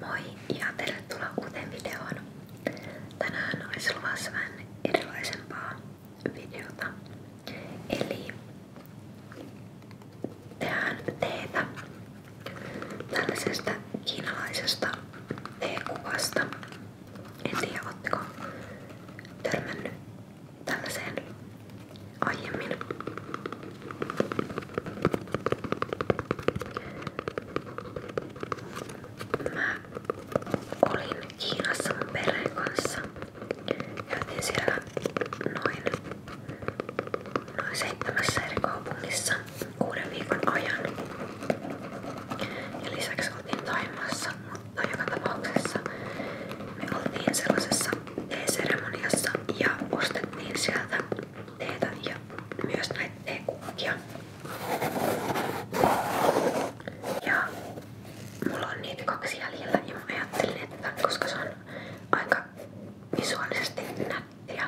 Moi ja tervetuloa uuteen videoon. Tänään olisi luvassa vähän erilaisempaa videota. Eli tehdään teetä tällaisesta kiinalaisesta teekuvasta. En tiedä, ootteko törmännyt tällaiseen aiemmin. Mä olin Kiinassa mun perheen kanssa. Käytiin siellä noin, noin seitsemässä eri kaupungissa kuuden viikon ajan. Ja lisäksi oltiin Taimassa, mutta joka tapauksessa me oltiin sellaisessa teeseremoniassa ja ostettiin sieltä teetä ja myös näitä teekukkia. Ja mulla on niitä kaksi jäljellä ja niin mä ajattelin, että koska se on aika visuaalisesti nättiä,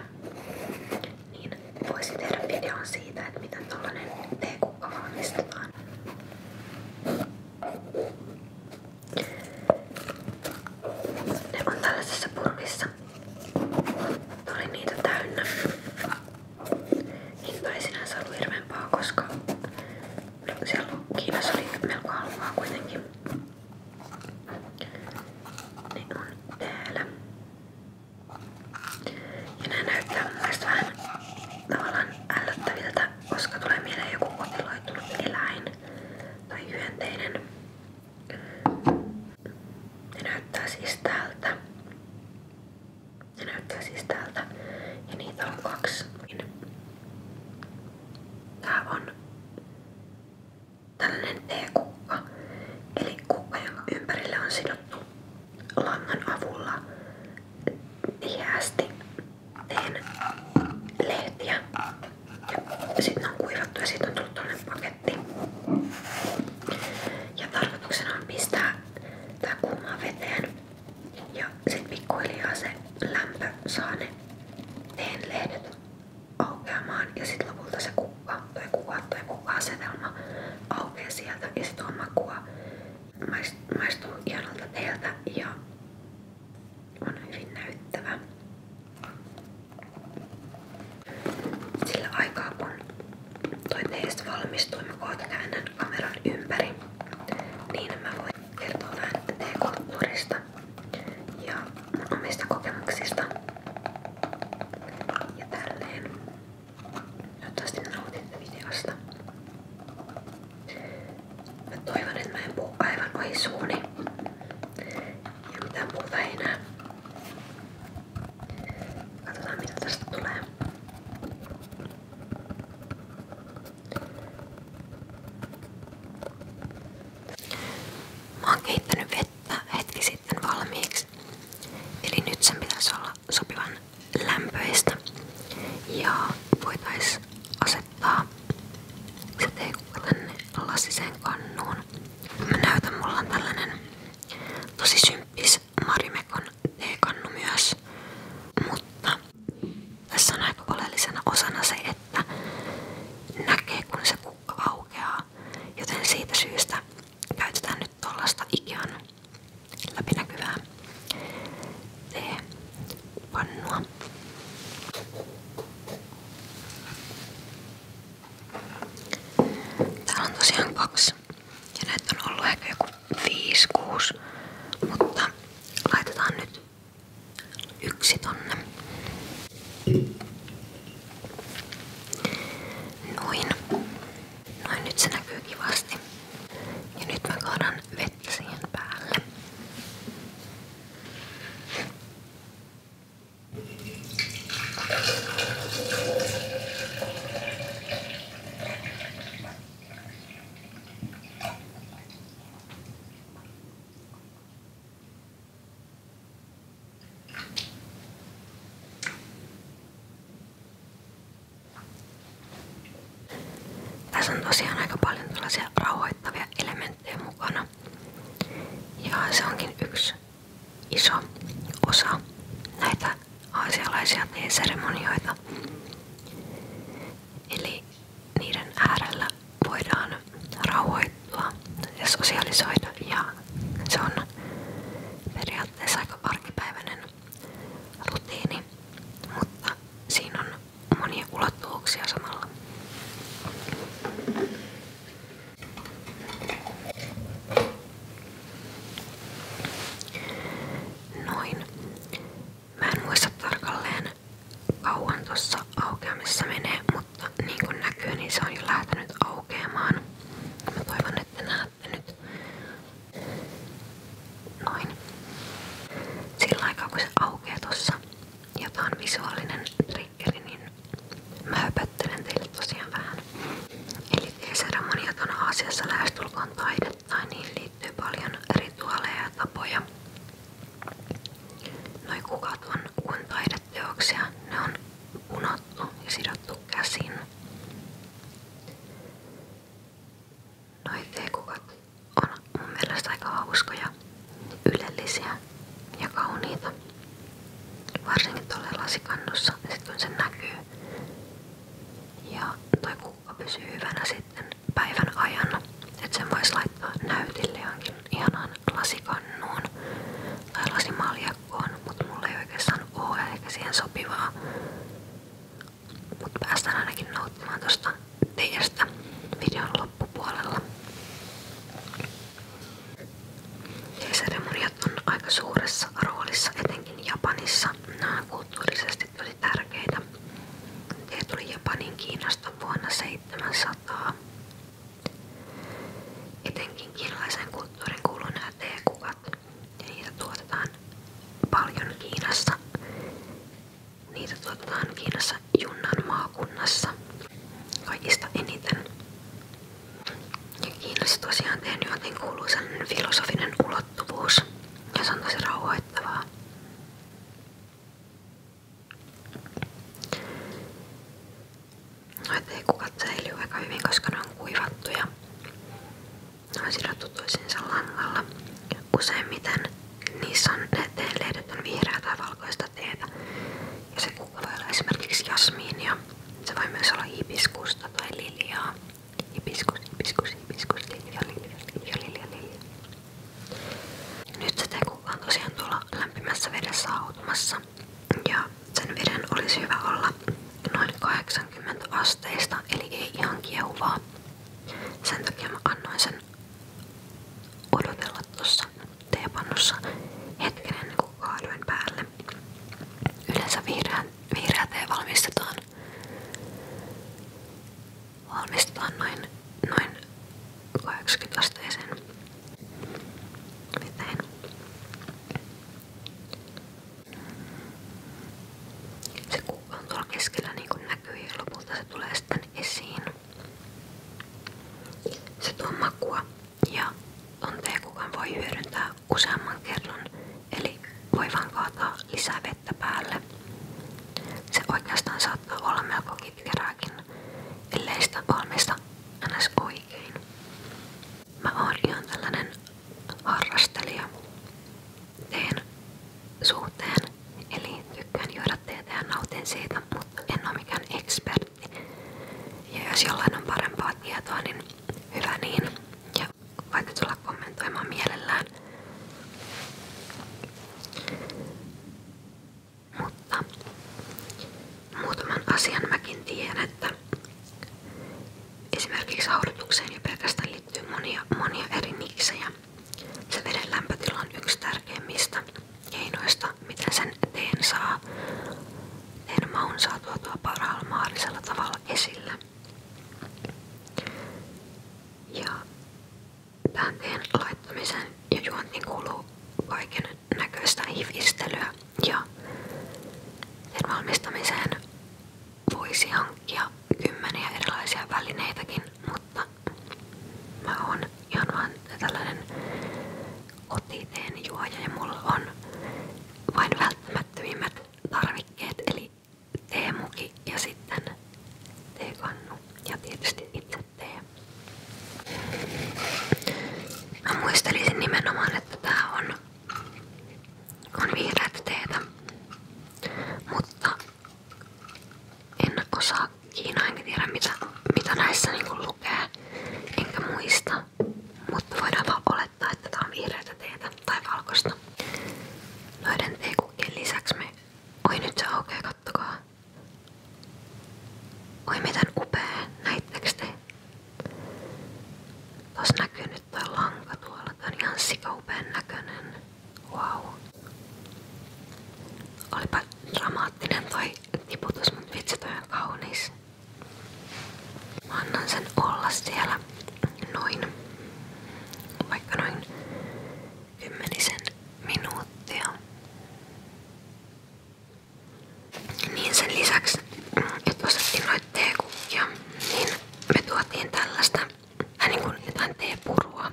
niin voisi tehdä videon siitä, että miten tollanen teekukka valmistetaan. Ne on tällaisessa purkissa. Tuli niitä täynnä. Hinta ei sinänsä ollut hirveän paha, koska no, siellä Kiinassa oli melko halpaa kuitenkin. Ne on täällä. Ja nää näyttää mun mielestä vähän tavallaan ällöttäviltä, koska tulee mieleen joku kotiloitunut eläin tai hyönteinen. Ne näyttää siis tältä. Ne näyttää siis tältä. Ja niitä on kaksi. Tää on tällainen T-kukka. Eli kukka, jonka ympärille on sidottu langan avulla tiheästi teen lehtiä. Ja sitten ne on kuivattu ja siitä on tullut toinen paketti. Ja tarkoituksena on pistää tää kuumaan veteen ja sit pikkuhiljaa se lämpö saa ne teen lehdet aukeamaan ja sit lopulta se kukka tai kuva tai kukka-asetelma aukeaa sieltä ja sit on makua maistuu ihanalta teeltä ja on hyvin näyttävä. Sillä aikaa kun toi teistä valmistui, mä kameran ympäri, niin mä voin kertoa vähän teekulttuurista ja mun omista kokemuksista ja tälleen. Toivottavasti nautitte videosta. Mä toivon, että mä en ja mitään muuta ei näe. Katsotaan mitä tästä tulee. Mä oon kehittänyt vettä hetki sitten valmiiksi. Eli nyt sen pitäisi olla sopivan lämpöistä. Ja voitais asettaa se teikukka tänne lasiseen kannuun. Mä näytän, mulla on tällainen tosi symppis Marimekon teekannu myös, mutta tässä on aika oleellisena osana se, että näkee kun se kukka aukeaa, joten siitä syystä käytetään nyt tuollaista Ikean läpinäkyvää teepannua. Täällä on tosiaan kaksi. Ja näitä on ollut ehkä joku 5-6. Mutta laitetaan nyt yksi tonne. Noin. Noin nyt se näkyy kivasti. Ja nyt mä kaadan vettä siihen päälle. Tässä on tosiaan aika paljon tällaisia rauhoittavia elementtejä lähtee mukana. Ja se onkin yksi iso osa näitä aasialaisia teeseremonioita. Eli niiden äärellä voidaan rauhoittua ja sosiaalisoida ja se on periaatteessa aika arkipäiväinen rutiini, mutta siinä on monia ulottuvuuksia samalla. Noin. Mä muista tarkalleen kauan tuossa aukeamissa mutta niin kuin näkyy, niin se on jo lähtenyt aukeamaan. Mä nyt. Noin. Sillä aikaa kun ja tää on visuaalinen triggeri, niin Mä höpöttelen teille tosiaan vähän. Eli seremoniat on Aasiassa lähestulkoon taidetta niin ja niihin rituaaleja tapoja. Noi kukat on kuin taideteoksia, ne on punottu ja sidottu käsin. Noi teekukat on mun mielestä aika hauskoja semmoisia ylellisiä ja kauniita. Varsinkin tuolla lasikannussa, sit kun se näkyy. Ja toi kuukka pysyy hyvänä sitten päivän ajan. Että sen voisi laittaa näytille johonkin ihanaan lasikannuun tai lasimaljakkoon, mutta mulla ei oikeastaan oo eikä siihen sopivaa. Mutta päästään ainakin nauttimaan tuosta teestä videon loppupuolella. Seremoniat on aika suuressa roolissa, etenkin Japanissa. kulttuurisesti tosi tärkeitä. Ne tuli Japanin Kiinasta vuonna 700. Etenkin kiinalaisen kulttuurin kuuluu nämä niitä tuotetaan paljon Kiinassa. Niitä tuotetaan Kiinassa Junnan maakunnassa kaikista eniten. Ja Kiinassa tosiaan Tenjotin kuuluu sellainen filosofinen ulottuvuus ja se on tosi rauhoittavaa. Noita ei kukat säilyy aika hyvin, koska ne on kuivattu ja ne on sidottu toisiinsa langalla. Useimmiten niissä on, ne teen lehdet on vihreää tai valkoista teetä ja se kukka esimerkiksi jasmiinia. Se voi myös olla hibiskusta tai liljaa. Hibiskus, hibiskus, hibiskus, lilja, lilja, lilja, Nyt se tekukka on tosiaan tuolla lämpimässä vedessä hautumassa. Ja sen veden olisi hyvä olla noin 80 asteista, eli ei ihan kiehuvaa. Sen takia mä annoin sen odotella tuossa teepannussa hetken ennen niin kuin Yleensä vihreä, vihreä tee valmistetaan, valmistetaan noin, noin 80 asteeseen. Miten? on tuolla keskellä niin näkyy ja lopulta se tulee sitten esiin. Se tuo makua ja tonteen kukaan voi hyödyntää useamman kerran, eli voi vaan kaataa lisää vettä päälle. Se oikeastaan saattaa olla melko kitkerääkin, ellei sitä valmista ns. oikein. Mä oon ihan tällainen harrastelija teen suhteen, eli tykkään juoda teetä ja nautin siitä, mutta en ole mikään expert ja jos on parempaa tietoa, niin, niin. Ja voitte tulla kommentoimaan mielellään. Mutta muutaman asian mäkin tiedän, että esimerkiksi haudutukseen jo pelkästään liittyy monia, monia eri niksejä. Se veden lämpötila on yksi tärkeimmistä keinoista, miten sen teen saa teen maun saa tuotua parhaalla mahdollisella tavalla esille. Ja tähän teen laittamisen ja juontiin kuuluu kaiken näköistä hivistelyä ja teen valmistamiseen voisi hankkia kymmeniä erilaisia välineitäkin, mutta mä oon ihan vaan tällainen kotiteen juoja ja mulla on vain välttämättömimmät tarvikkeet eli teemuki ja sitten teekannu ja tietysti itse tee. Mä muistelisin nimenomaan, että tää on, on vihreät teetä, mutta en osaa ja Kiina, mitä, mitä näissä niinku lukee, enkä muista, mutta voidaan olettaa, että tää on vihreätä teetä tai valkoista. Noiden teekukkien lisäksi me... Oi nyt se aukeaa, kattokaa. Oi miten upea, näittekö te? Tuossa näkyy nyt toi lanka tuolla, toi Wow. Olipa dramaattinen toi tiputus, mut vitsi toi on kaunis. Mä annan sen olla siellä noin, vaikka noin kymmenisen minuuttia. Niin sen lisäksi, että ostettiin noita teekukkia, niin me tuotiin tällaista, vähän niin kuin jotain teepurua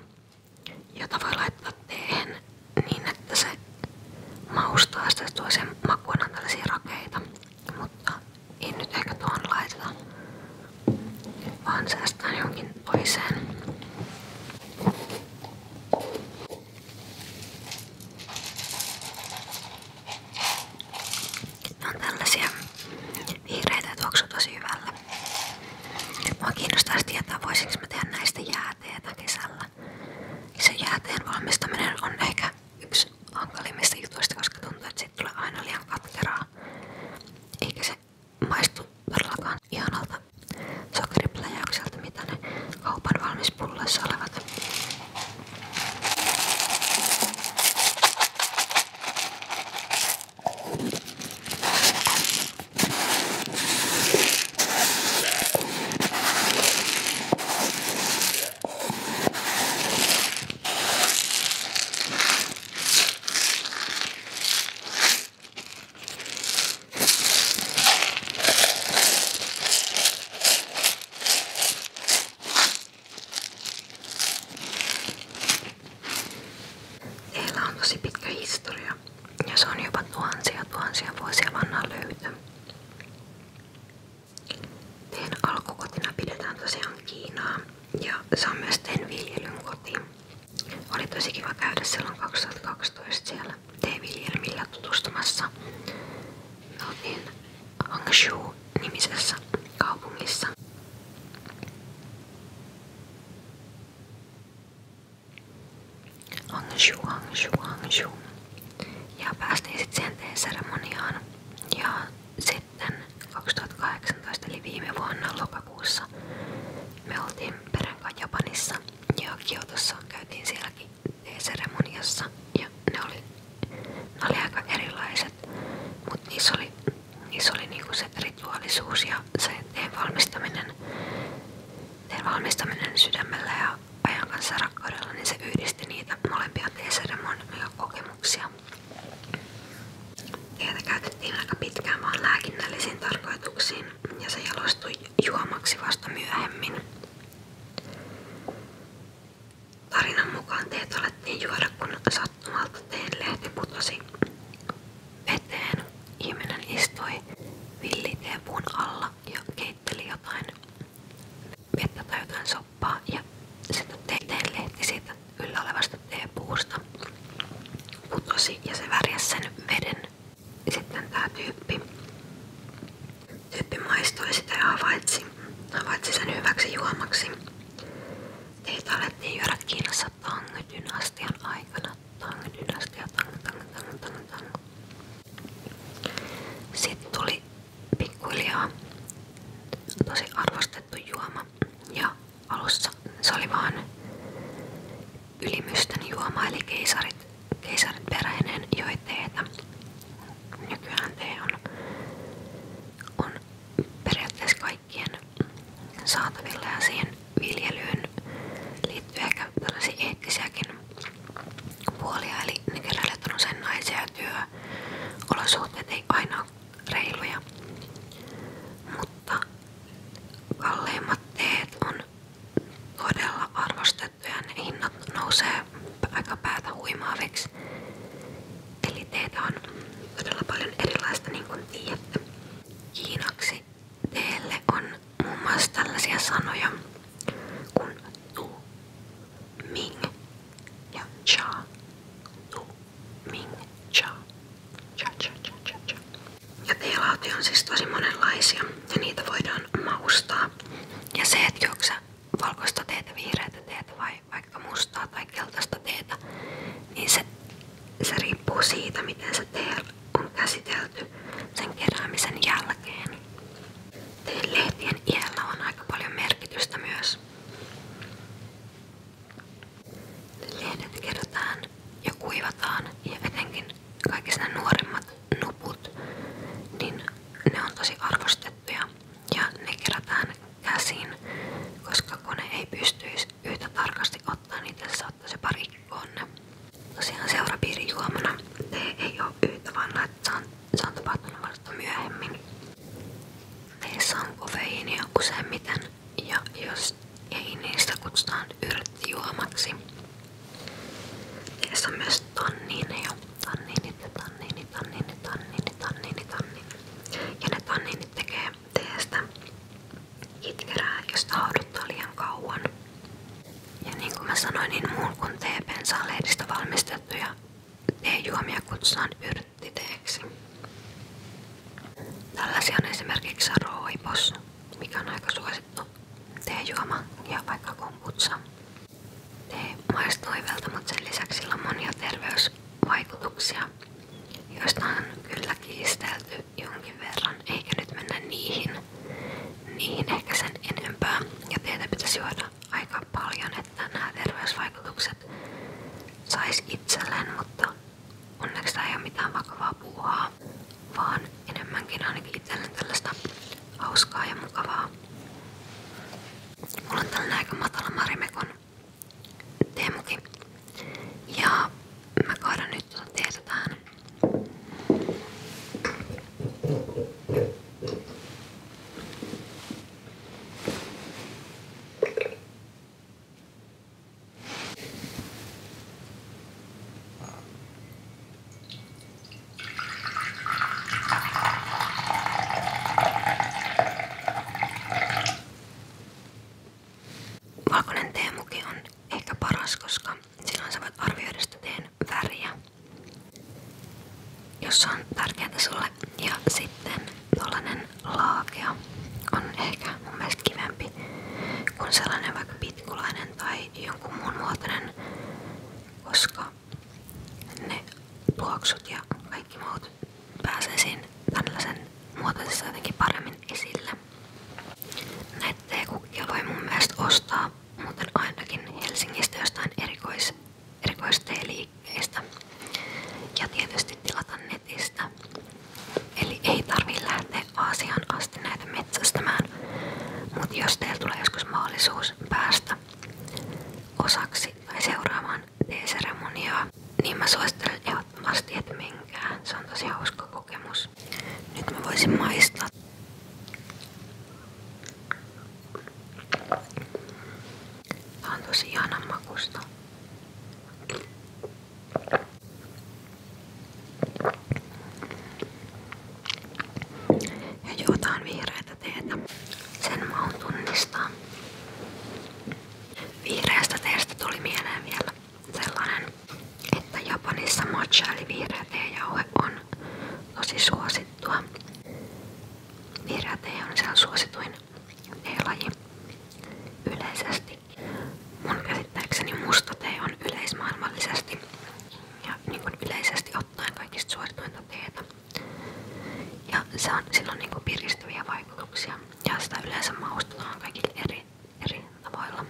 jota voi laittaa teen niin, että se maustaa sitä tuo sen makuina tällaisia rakeita. Mutta ei nyt ehkä tuohon laiteta, vaan säästään jonkin toiseen. Ne on vihreitä, että onko tosi hyvällä. tietää, voisinko mä tehdä näistä jääteetä kesällä tavallaan. Niin se jääteen valmistaminen on ehkä yksi hankalimmista jutuista, koska tuntuu, että siitä tulee aina liian katkeraa. Eikä se maistu todellakaan ihanalta sokeripläjäykseltä, mitä ne kaupan valmispulloissa olevat. Heillä on tosi pitkä historia vanhoja. Ja se on jopa tuhansia tuhansia vuosia vanha löytö. Teen alkukotina pidetään tosiaan Kiinaa ja se on myös teen viljelyn koti. Oli tosi kiva käydä silloin 2012 siellä teeviljelmillä tutustumassa. Me oltiin Hangzhou-nimisessä kaupungissa. Hangshu, hangshu, hangshu. Ja päästiin sitten sen seremoniaan. Ja sitten 2018 eli viime vuonna lokakuussa me oltiin perenkaan Japanissa ja Kiotossa käytiin sielläkin seremoniassa ja ne oli, ne oli aika erilaiset, mutta niissä oli, niissä oli niinku se rituaalisuus ja se teen valmistaminen valmistaminen sydämellä ja ajan kanssa rakkaudella, niin se yhdisti niitä molempia TCD-monia kokemuksia. Teitä käytettiin aika pitkään vaan lääkinnällisiin tarkoituksiin ja se jalostui juomaksi vasta myöhemmin. Tarinan mukaan teet alettiin juoda, kun sattumalta teen lehti putosi veteen. Ihminen istui villiteepun alla ja keitteli jotain vettä tai jotain ja sitten teiteen lehti siitä yllä olevasta teepuusta putosi ja se värjäsi sen veden. Sitten tää tyyppi, tyyppi maistoi sitä ja havaitsi, sen hyväksi juomaksi. Teitä alettiin juoda Kiinassa Tang-dynastian aikana. Tang-dynastia, tang, tang, tang, tang, tang. Sitten tuli pikkuhiljaa tosi arvostettu juoma ja alussa se oli vaan ylimysten keisarit, keisarit peräinen joi teetä. Nykyään tee on, on kaikkien saatavilla ja siihen viljelyyn liittyy ehkä tällaisia eettisiäkin puolia, eli nykyrallit on usein naisia reiluja. Mutta kalleimmat teet on todella arvostettuja ja nousee aika päätä huimaaviksi. Eli teitä on todella paljon erilaista niin kuin tiedätte käsitteelle on muun mm. muassa tällaisia sanoja kuin tu, ming ja cha. Tu, ming, cha. Cha, cha, cha, cha, cha. Ja teelautia on siis tosi monenlaisia ja niitä voidaan maustaa. Ja se, että juokse valkoista teetä, vihreätä teetä vai vaikka mustaa tai keltaista teetä, niin se, se riippuu siitä, miten se tee on käsitelty sen keräämisen jälkeen. Lehtien iällä on aika paljon merkitystä myös. Lehdet kerätään ja kuivataan ja etenkin kaikki nämä nuorimmat nuput, niin ne on tosi arvostettuja ja ne kerätään käsin, koska kone ei pystyisi yhtä tarkasti ottaa niitä, se saattaisi parikkoon ne. Tosiaan seurapiirin juomana tee ei oo yhtä vanha, että se on, se on tapahtunut vasta myöhemmin. Teissä on kofeiinia useimmiten ja jos ei niistä kutsutaan yrttijuomaksi. Teissä on myös tanniineja. Tanniinit ja tanniinit, tanniinit, tanniinit, tanniinit, tanniinit. Ja ne tanniinit tekee teestä Itkerää, jos tahduttaa kauan. Ja niin mä sanoin, niin muun kuin teepensaa lehdistä valmistettuja teejuomia kutsutaan yrttiteeksi. on esimerkiksi roipos, mikä on aika suosittu teejuoma ja vaikka komputsa. Tee maistuu hyvältä, mutta lisäksi sillä on monia terveysvaikutuksia, joista on kyllä kiistelty jonkin verran, eikä nyt mennä niihin, niihin ehkä enempää. Ja teitä pitäisi juoda aika paljon, että nämä terveysvaikutukset sais itselleen, mutta onneksi tämä mitään vakavaa puuhaa, vaan enemmänkin ainakin itselleen tällaista hauskaa ja mukavaa. Mulla on tällainen aika matala Ja mä kaadan nyt tuota teetä Valkoinen teemuki on ehkä paras, koska Silloin sä voit arvioida sitä teen väriä, jos on tärkeää sulle. Ja sitten tollanen laakea on ehkä mun mielestä kivempi kuin sellainen vaikka pitkulainen tai jonkun muun muotoinen, koska ne tuoksut ja kaikki muut pääsee siinä tällaisen muotoisessa jotenkin paremmin esille. Näitä voi mun mielestä ostaa muuten ainakin Helsingistä jostain erikois, ja tietysti tilata netistä. Eli ei tarvi lähteä Aasiaan asti näitä metsästämään, mutta jos teillä tulee joskus mahdollisuus päästä osaksi tai seuraamaan teeseremoniaa, niin mä suosittelen ehdottomasti, että menkää. Se on tosi hauska kokemus. Nyt mä voisin maistaa. Tää on tosi ihanan makusta. Ja juotaan vihreätä teetä. Sen maun tunnistaa. Vihreästä teestä tuli mieleen vielä sellainen, että Japanissa matcha eli vihreä teejauhe on tosi suosittua. Vihreä tee on siellä suosituin teelaji yleisesti. Mun käsittääkseni musta tee on yleismaailmallisesti ja niin kuin yleisesti ottaen kaikista suosituinta teetä. Ja se on, sillä on niin kuin piristäviä vaikutuksia ja sitä yleensä maustetaan kaikille eri eri tavoilla.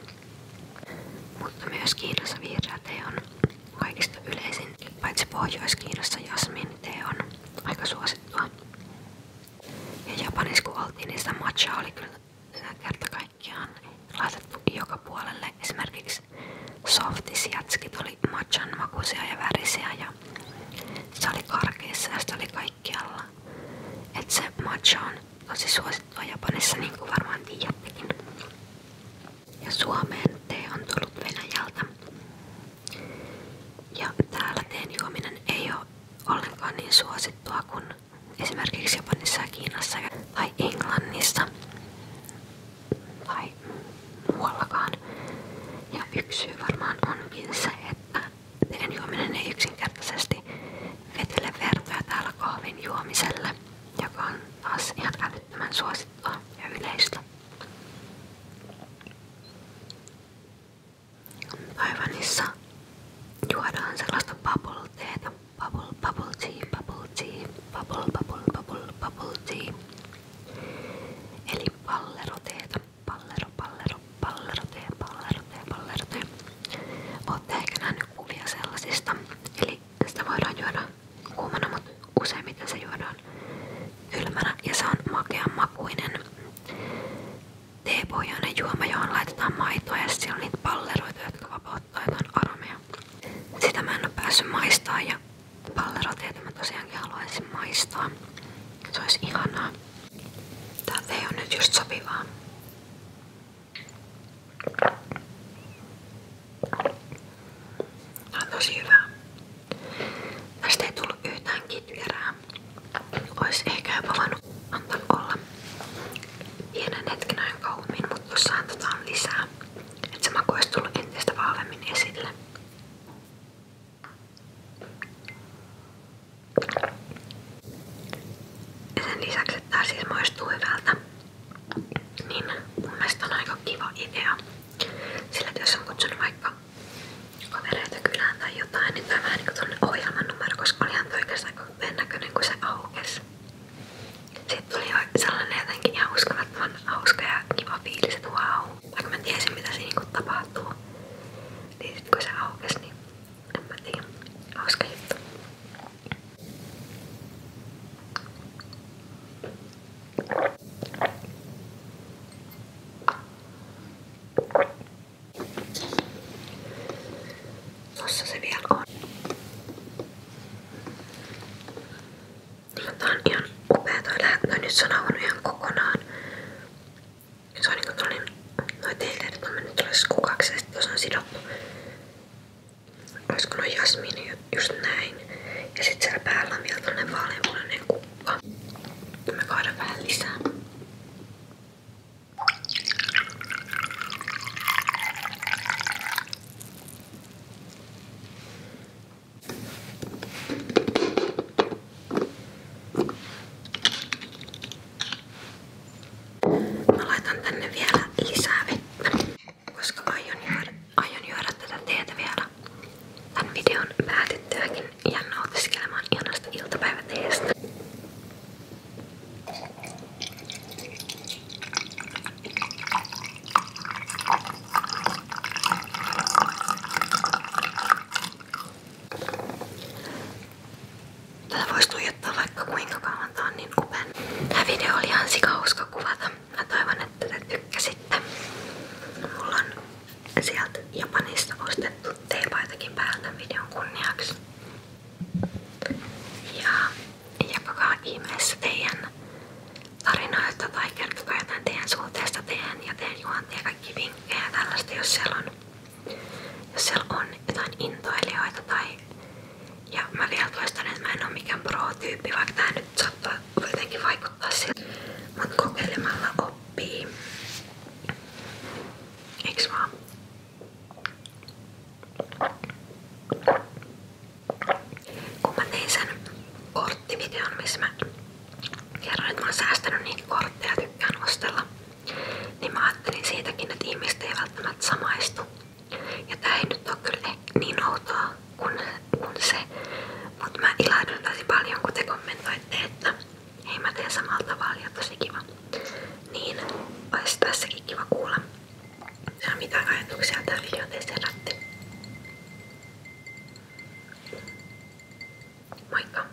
Mutta myös Kiinassa vihreä on kaikista yleisin. Paitsi Pohjois-Kiinassa jasmin tee aika suosittua. Ja Japanissa niin matcha oli kyllä kerta joka puolelle. Esimerkiksi softisjatskit oli matchan makuisia ja värisiä ja se oli karkeissa ja tosi suosittua Japanissa, niin kuin varmaan tiedättekin. Ja Suomeen tee on tullut Venäjältä. Ja täällä teen juominen ei ole ollenkaan niin suosittua kuin esimerkiksi Japanissa ja Kiinassa tai Englannissa tai muuallakaan. Ja yksi syy varmaan onkin se, että teen juominen ei yksinkertaisesti vetele vertoja täällä kahvin juomiselle, joka on taas ihan älyttömän suosittua ja yleistä. Taivanissa juodaan sellaista bubble teetä. Bubble, bubble tea, bubble tea, bubble, bubble, bubble, bubble tea. Eli palleroteetä. Pallero, pallero, pallero tee, pallero tee, pallero tee. Olette ehkä nähnyt kuvia sellaisista. Eli sitä voidaan juoda kuumana, mutta useimmiten se juodaan kylmänä ja se on makean makuinen teepohjainen juoma, johon laitetaan maitoa ja siellä on niitä palleroita, jotka vapauttaa jotain aromeja. Sitä mä en oo päässyt maistaa ja palleroteita mä tosiaankin haluaisin maistaa. Se olisi ihanaa. Tää tee on nyt just sopivaa. Tää on tosi hyvä. Tästä ei tullut yhtään kitkerää. Ois ehkä jopa voinut antaa olla pienen hetken ajan kauemmin, mutta tuossa antetaan lisää. Että se maku olisi tullut entistä vahvemmin esille. Ja sen lisäksi, että tää siis maistuu hyvältä, niin mun mielestä on aika kiva idea. Sillä että jos on kutsunut vaikka kavereita kylään tai jotain, niin tämä vähän niinku tuonne ohjelman numero, koska olihan toi oikeastaan aika hyvän näköinen, kun se aukesi. Sitten tuli sellainen jotenkin ihan uskomattoman hauska ja kiva fiilis, että wow. Vaikka mä tiesin mitä siinä niinku tapahtuu, niin sit kun se aukesi, niin en mä tiedä. Hauska juttu. Tossa se vielä on. Tää on ihan upea toi lähtö. Nyt se on avannut ihan kokonaan. Se on niinku tollin, noi teilleet on mennyt tuolle kukaksi ja sit tuossa on sidottu olisiko no jasmini just näin. Ja sit siellä päällä on vielä tämmönen vaaleanpunainen kukka. Mä kaadan vähän lisää. Mä laitan tänne vielä lisää vettä, koska aion juoda, aion juoda tätä teetä vielä tämän videon päätettyäkin ja nautiskelemaan ihanasta iltapäiväteestä. Tätä voisi tuijottaa vaikka kuinka kauan tää on niin upen. Tää video oli ihan sikauska kuvata. Mä toivon, että te tykkäsitte. Mulla on sieltä Japanista ostettu teepaitakin päältä videon kunniaksi. Ja jakakaa ihmeessä teidän tarinoita tai kertokaa jotain teidän suhteesta teidän ja teidän juontia kaikki vinkkejä ja tällaista, jos siellä on jos siellä on jotain intoilijoita tai ja mä vielä toistan, että mä en oo mikään pro-tyyppi, vaikka tää nyt saattaa jotenkin vaikuttaa siltä. Mut kokeilemalla oppii. Eiks vaan? Kun mä tein sen korttivideon, missä mä kerron, että mä oon säästänyt niitä kortteja, tykkään ostella niin mä ajattelin siitäkin, että ihmiset ei välttämättä samaistu. Ja tämä ei nyt ole kyllä niin outoa kuin, kuin se, mutta mä ilahdun tosi paljon, kun te kommentoitte, että hei mä teen samalla tavalla ja tosi kiva. Niin olisi tässäkin kiva kuulla, ja mitä ajatuksia tämä video teistä herätti. Moikka!